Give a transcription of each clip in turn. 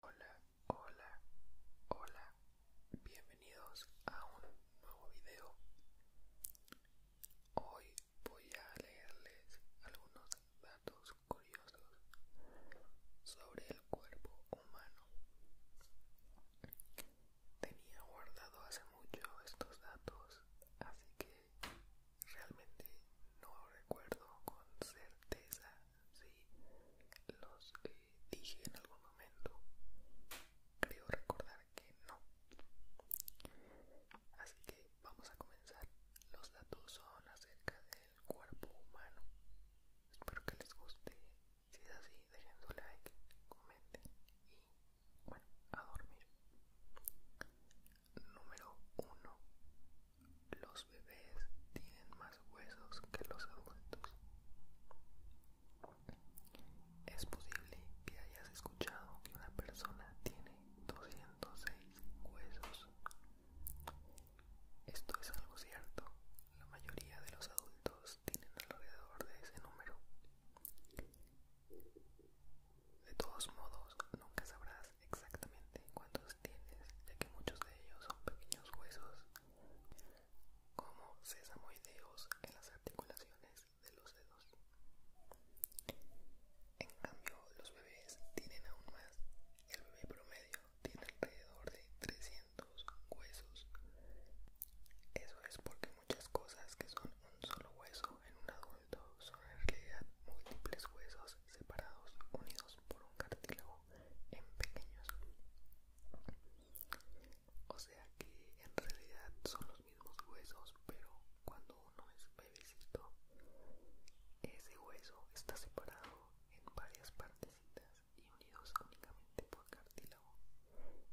Hola, hola, hola, bienvenidos a un nuevo video. Hoy voy a leerles algunos datos curiosos sobre el cuerpo humano. Tenía guardado hace mucho estos datos, así que realmente no recuerdo con certeza si los eh, dije en algún momento. Creo recordar que no. Así que vamos a comenzar. Los datos son acerca del cuerpo humano. Espero que les guste. Si es así, dejen su like, comenten y bueno, a dormir. Número 1 los bebés tienen más huesos que los adultos. Es posible que hayas escuchado que una persona tiene 206 huesos. Esto es algo cierto. La mayoría de los adultos tienen alrededor de ese número. De todos modos, nunca sabrás exactamente cuántos tienes, ya que muchos de ellos son pequeños huesos como sesamoideos en las articulaciones de los dedos. En cambio, los bebés tienen aún más. El bebé promedio tiene alrededor de 300 huesos. Eso es porque muchas cosas que son un solo hueso en un adulto son en realidad múltiples huesos separados unidos por un cartílago en pequeños. O sea que en realidad son los mismos huesos, pero cuando uno es bebecito, ese hueso está separado en varias partecitas y unidos únicamente por cartílago.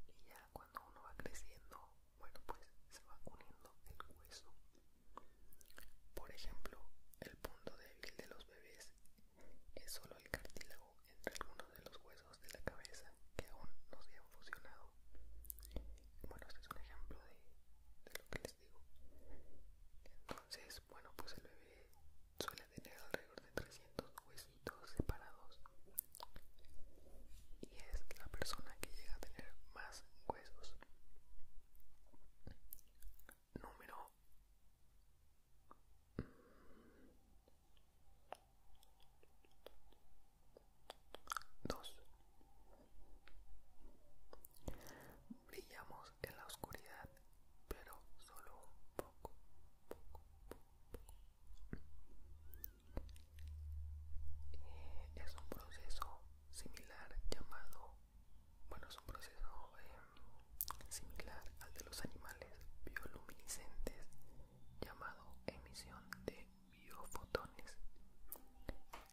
Y ya cuando uno va creciendo, bueno, pues se va uniendo el hueso por ejemplo, el punto débil de los bebés es solo el cartílago entre algunos de los huesos de la cabeza que aún no se han fusionado. Bueno, este es un ejemplo de, lo que les digo. Entonces, bueno, pues el bebé suele tener alrededor de 300 huesitos separados y es la persona que llega a tener más huesos número dos brillamos en la oscuridad pero solo un poco, eh, es un proceso similar llamado bueno es un proceso eh, similar al de los animales bioluminiscentes llamado emisión de biofotones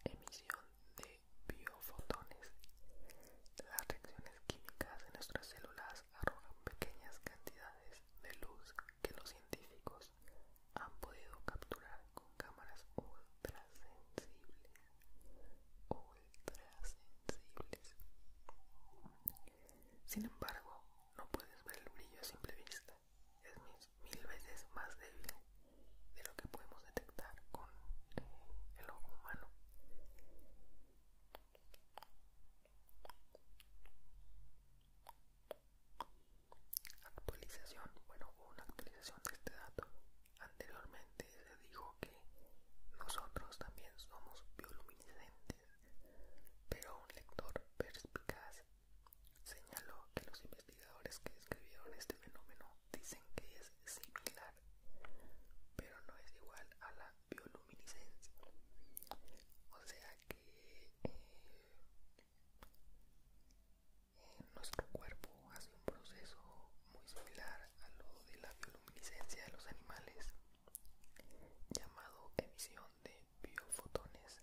emisión de biofotones las reacciones químicas de nuestras células arrojan pequeñas cantidades de luz que los científicos han podido capturar con cámaras ultra sensibles, ultra sensibles. Sin embargo, no puedes ver el brillo a simple vista. Es mil veces más débil de lo que podemos detectar con eh, el ojo humano. Actualización, bueno, una actualización de este dato Anteriormente se dijo que nosotros también somos bioluminiscentes, pero un lector perspicaz señaló que los investigadores que describieron este fenómeno dicen que es similar, pero no es igual a la bioluminiscencia. O sea que eh, nuestro cuerpo hace un proceso muy similar a lo de la bioluminiscencia de los animales, llamado emisión de biofotones,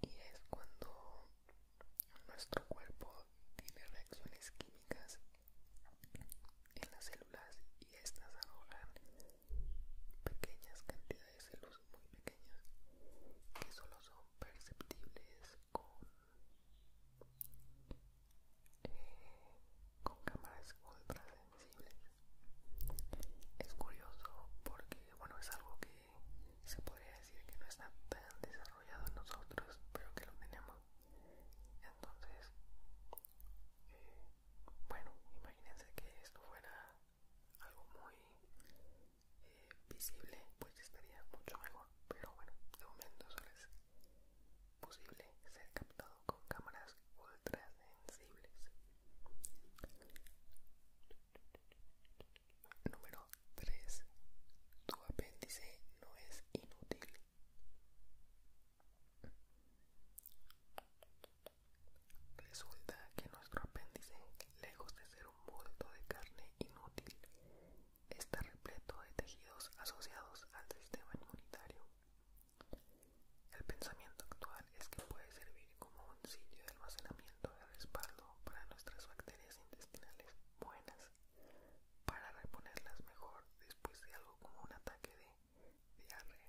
y es cuando nuestro cuerpo tiene reacciones químicas en las células y estas arrojan pequeñas cantidades de luz muy pequeñas que solo son perceptibles con con cámaras ultra sensibles es curioso porque bueno es algo que se podría decir que no está tan desarrollado en nosotros pero que lo tenemos entonces eh, bueno imagínense que esto fuera algo muy eh, visible pues estaría mucho mejor pero bueno de momento solo es posible ser captado con cámaras ultra sensibles número 3 tu apéndice no es inútil Resulta que nuestro apéndice, lejos de ser un bulto de carne inútil, está repleto de tejidos asociados al sistema inmunitario. El pensamiento actual es que puede servir como un sitio de almacenamiento de respaldo para nuestras bacterias intestinales buenas, para reponerlas mejor después de algo como un ataque de diarrea.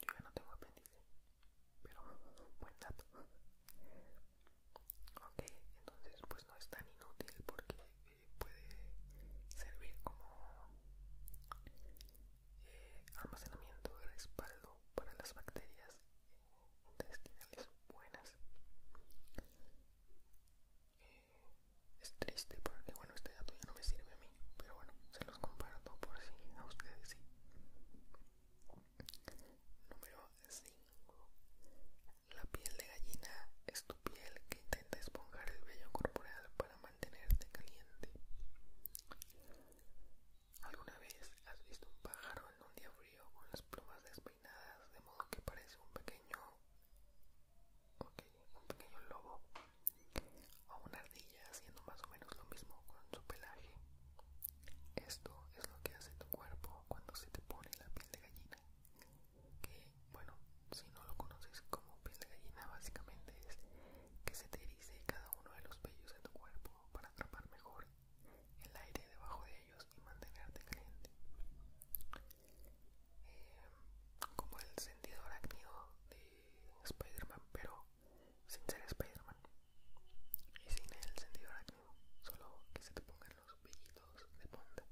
Yo ya no tengo apéndice pero buen dato ok entonces pues no es tan inútil porque eh, puede servir como eh, almacenamiento de respaldo para las bacterias intestinales buenas eh, es triste porque bueno este dato ya no me sirve a mí pero bueno se los comparto por si a ustedes sí Número 5. La piel de gallina es tu piel que intenta esponjar el vello corporal para mantenerte caliente. ¿Alguna vez has visto un pájaro en un día frío con las plumas despeinadas de modo que parece un pequeño, un pequeño lobo o una ardilla haciendo más o menos lo mismo con su pelaje? Esto es lo que hace tu cuerpo cuando se te pone la piel de gallina. Que, bueno, si no lo conoces como piel de gallina, básicamente es que se te erice cada uno de los vellos de tu cuerpo para atrapar mejor el aire debajo de ellos y mantenerte caliente. Eh, como el sentido arácnido de Spider-Man, pero sin ser spider y sin el sentido arácnido, solo que se te pongan los vellitos de punta.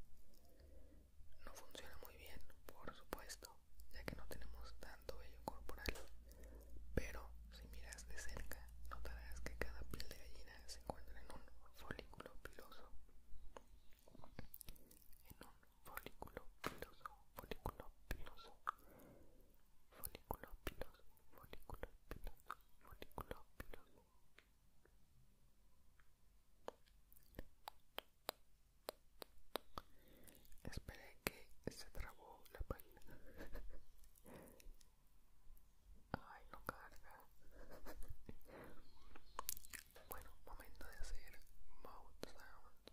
No funciona muy bien, por supuesto, ya que no tenemos tanto vello corporal, pero si miras de cerca notarás que cada piel de gallina se encuentra en un folículo piloso. En un folículo piloso, folículo piloso folículo pilosos, folículo pilosos, folículo pilosos. Esperé que se trabó la página. Ay, no carga. Bueno, momento de hacer mouth sound.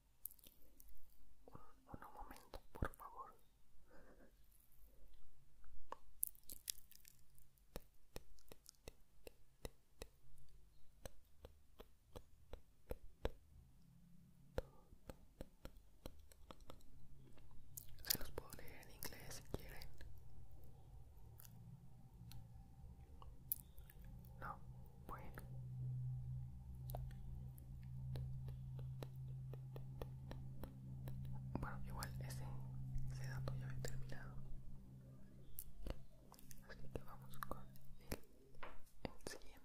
Un, momento, por favor. Se los puedo leer en inglés si quieren. No, bueno. Bueno, igual ese, ese dato ya he terminado. Así que vamos con el siguiente.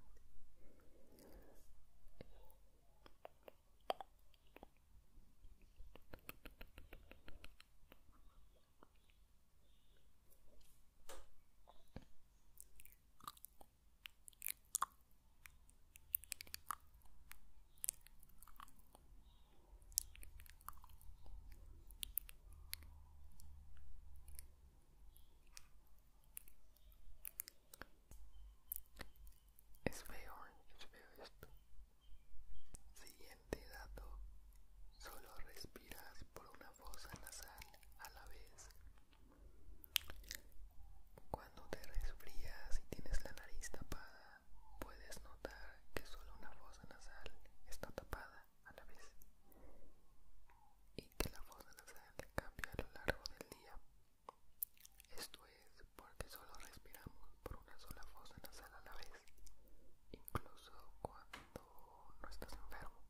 Es feo, ¿eh? es feo esto. Siguiente dato. Solo respiras por una fosa nasal a la vez. Cuando te resfrías y tienes la nariz tapada, puedes notar que solo una fosa nasal está tapada a la vez y que la fosa nasal cambia a lo largo del día. Esto es porque solo respiramos por una sola fosa nasal a la vez, incluso cuando no estás enfermo.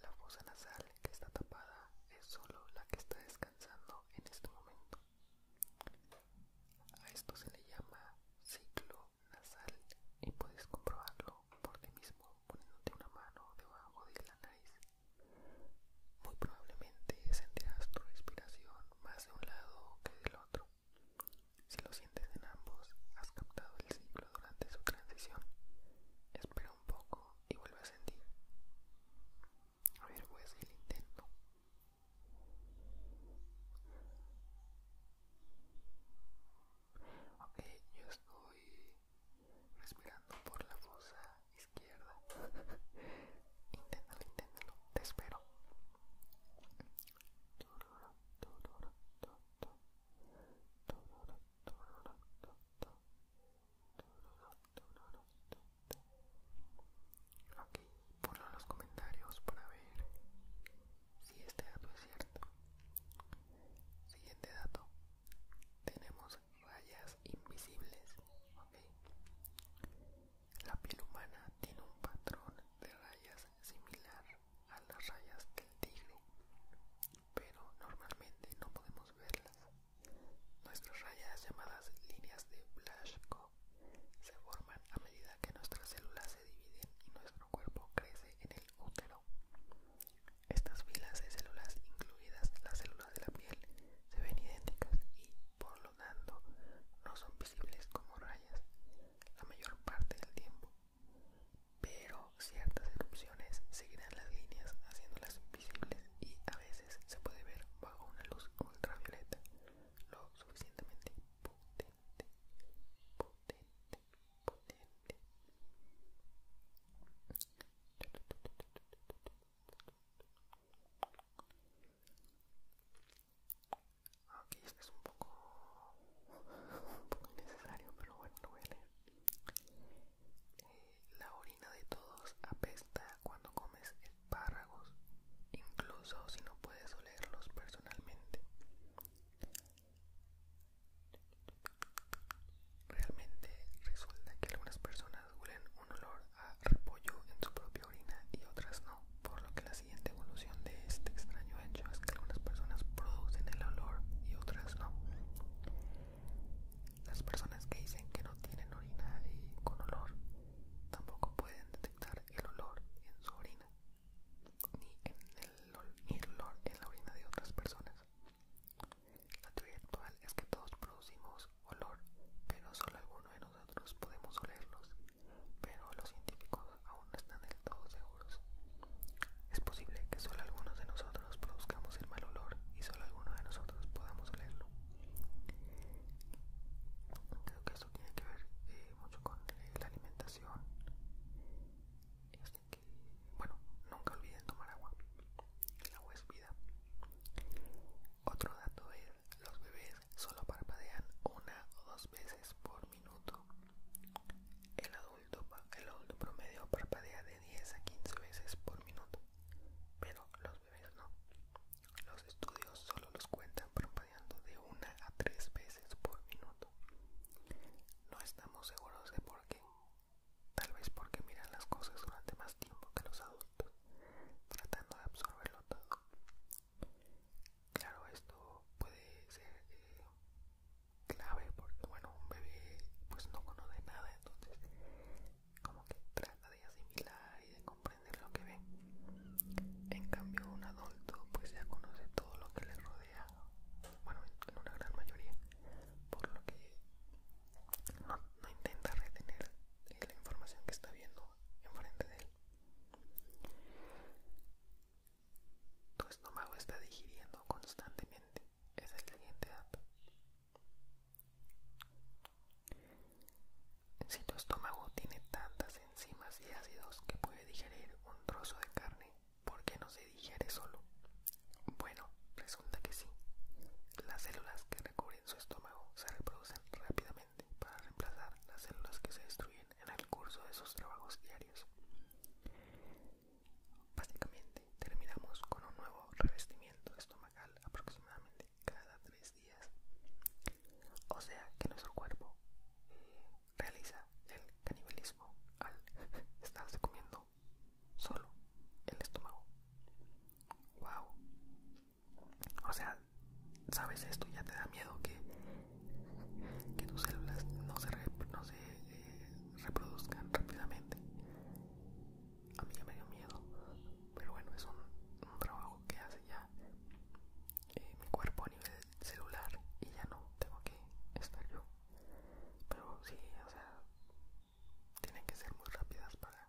La fosa nasal que está tapada es solo la que está descansando en este momento. A esto se le llama ciclo nasal y puedes comprobarlo por ti mismo poniéndote una mano debajo de la nariz. Muy probablemente sentirás tu respiración más de un lado que del otro. Si lo sientes en ambos, has captado el ciclo durante su transición. Espera un poco y vuelve a sentir. A ver, voy a hacer el intento. Ok, yo estoy respirando por la fosa izquierda. inténtalo, inténtalo, te espero. Aquí ponlo en los comentarios para ver si este dato es cierto. Siguiente dato. Tenemos rayas invisibles. Okay. La piel humana tiene un patrón de rayas similar a las rayas del tigre, pero normalmente no podemos verlas. Nuestras rayas llamadas líneas de Blaschko se forman a medida que nuestras células se dividen y nuestro cuerpo crece en el útero. Estas filas de células, incluidas las células de la piel, se ven idénticas y, por lo tanto, no son visibles como rayas la mayor parte del tiempo pero ciertas erupciones seguirán las líneas haciéndolas invisibles y a veces se puede ver bajo una luz ultravioleta lo suficientemente potente, es un poco, necesario pero bueno, a eh, la orina de todos apesta cuando comes espárragos, incluso si no puedes olerlos personalmente. Realmente resulta que algunas personas huelen un olor a repollo en su propia orina y otras no, por lo que la siguiente evolución de este extraño hecho es que algunas personas producen el olor y otras no. Las personas que dicen que no tienen orina y con olor tampoco pueden detectar el olor en su orina ni, en el, olor en la orina de otras personas. La teoría actual es que todos producimos olor, pero solo algunos de nosotros podemos olerlos, pero los científicos aún no están del todo seguros. Es posible que solo algunos de nosotros produzcamos el mal olor y solo algunos de nosotros podamos olerlo. Creo que esto tiene que ver eh, mucho con eh, la alimentación. Así este, que, bueno, nunca olviden tomar agua. El agua es vida. Otro dato es, los bebés solo parpadean una o dos veces por minuto. El adulto, el adulto promedio parpadea de 10 a 15 veces por minuto, pero los bebés no. Los estudios solo los cuentan parpadeando de 1 a 3 veces por minuto. No estamos seguros de por qué. Tal vez porque miran las cosas durante más tiempo que los adultos, tratando de absorberlo todo. Claro, esto puede ser eh, clave porque, bueno, un bebé pues no conoce nada, entonces como que trata de asimilar y de comprender lo que ve. En cambio, un adulto pues ya conoce todo lo que le rodea, bueno, en una gran mayoría, por lo que no, no intenta retener la información que está viendo enfrente de él. Tu estómago está digiriendo constantemente. Es el siguiente dato. Si tu estómago tiene tantas enzimas y ácidos que puede digerir un trozo de carne, ¿por qué no se digiere solo? Bueno, resulta que sí. Las células que recubren su estómago se reproducen rápidamente para reemplazar las células que se destruyen en el curso de sus trabajos diarios. Básicamente, terminamos con un nuevo revestimiento estomacal aproximadamente cada tres días. O sea que nuestro cuerpo eh, realiza el canibalismo al estarse comiendo solo el estómago. ¡Wow! O sea, sabes esto ya te da miedo que, que tus células no se, eh, reproduzcan rápidamente. A mí ya me dio miedo, pero bueno, es un, trabajo que hace ya eh, mi cuerpo a nivel celular y ya no tengo que estar yo. Pero sí, o sea, tienen que ser muy rápidas para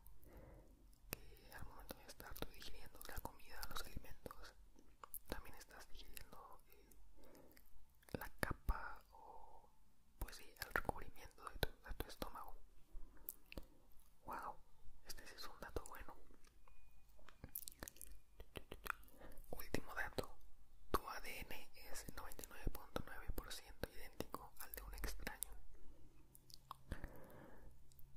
que al momento de estar digiriendo la comida, los alimentos, también estás digiriendo eh, la capa o pues sí, el recubrimiento de tu, estómago. Wow, este es un dato bueno. Último dato, tu ADN es 99.9% idéntico al de un extraño.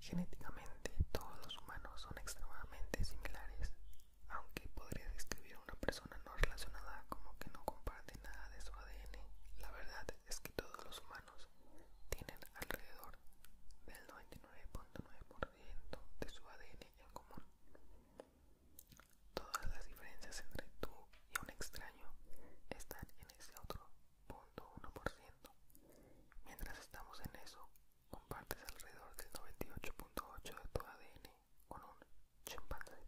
Genéticamente, todos los humanos son extremadamente similares, aunque podría describir a una persona no relacionada como que no comparte nada de su ADN. La verdad es que todos los humanos tienen alrededor del 99.9% de su ADN en común. Todas las diferencias entre tú y un extraño están en ese otro 0.1%. Mientras estamos en eso, compartes alrededor del 98.8 de tu ADN con un chimpancé.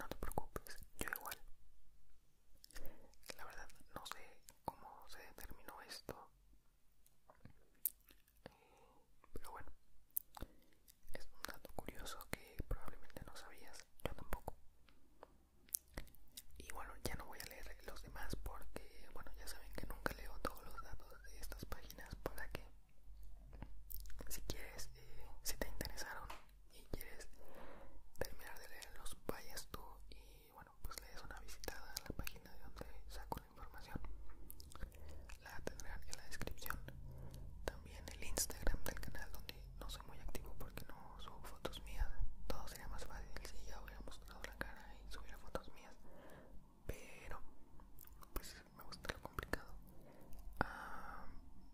No te preocupes, yo igual. La verdad no sé cómo se determinó esto. Eh, pero bueno, es un dato curioso que probablemente no sabías, yo tampoco y bueno ya no voy a leer los demás porque bueno ya saben que nunca leo todos los datos de estas páginas para que si quieres eh, si te interesaron y quieres terminar de leerlos vayas tú y bueno pues lees una visitada a la página de donde saco la información la tendrán en la descripción también el instagram del canal donde no soy muy activo porque no subo fotos mías todo sería más fácil si ya hubiera mostrado la cara y subiera fotos mías pero pues me gusta lo complicado ah,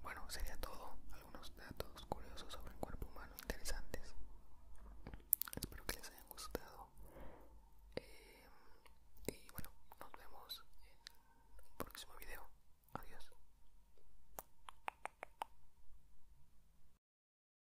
bueno sería todo algunos datos curiosos sobre el cuerpo humano interesantes espero que les hayan gustado eh, y bueno nos vemos en el próximo video adiós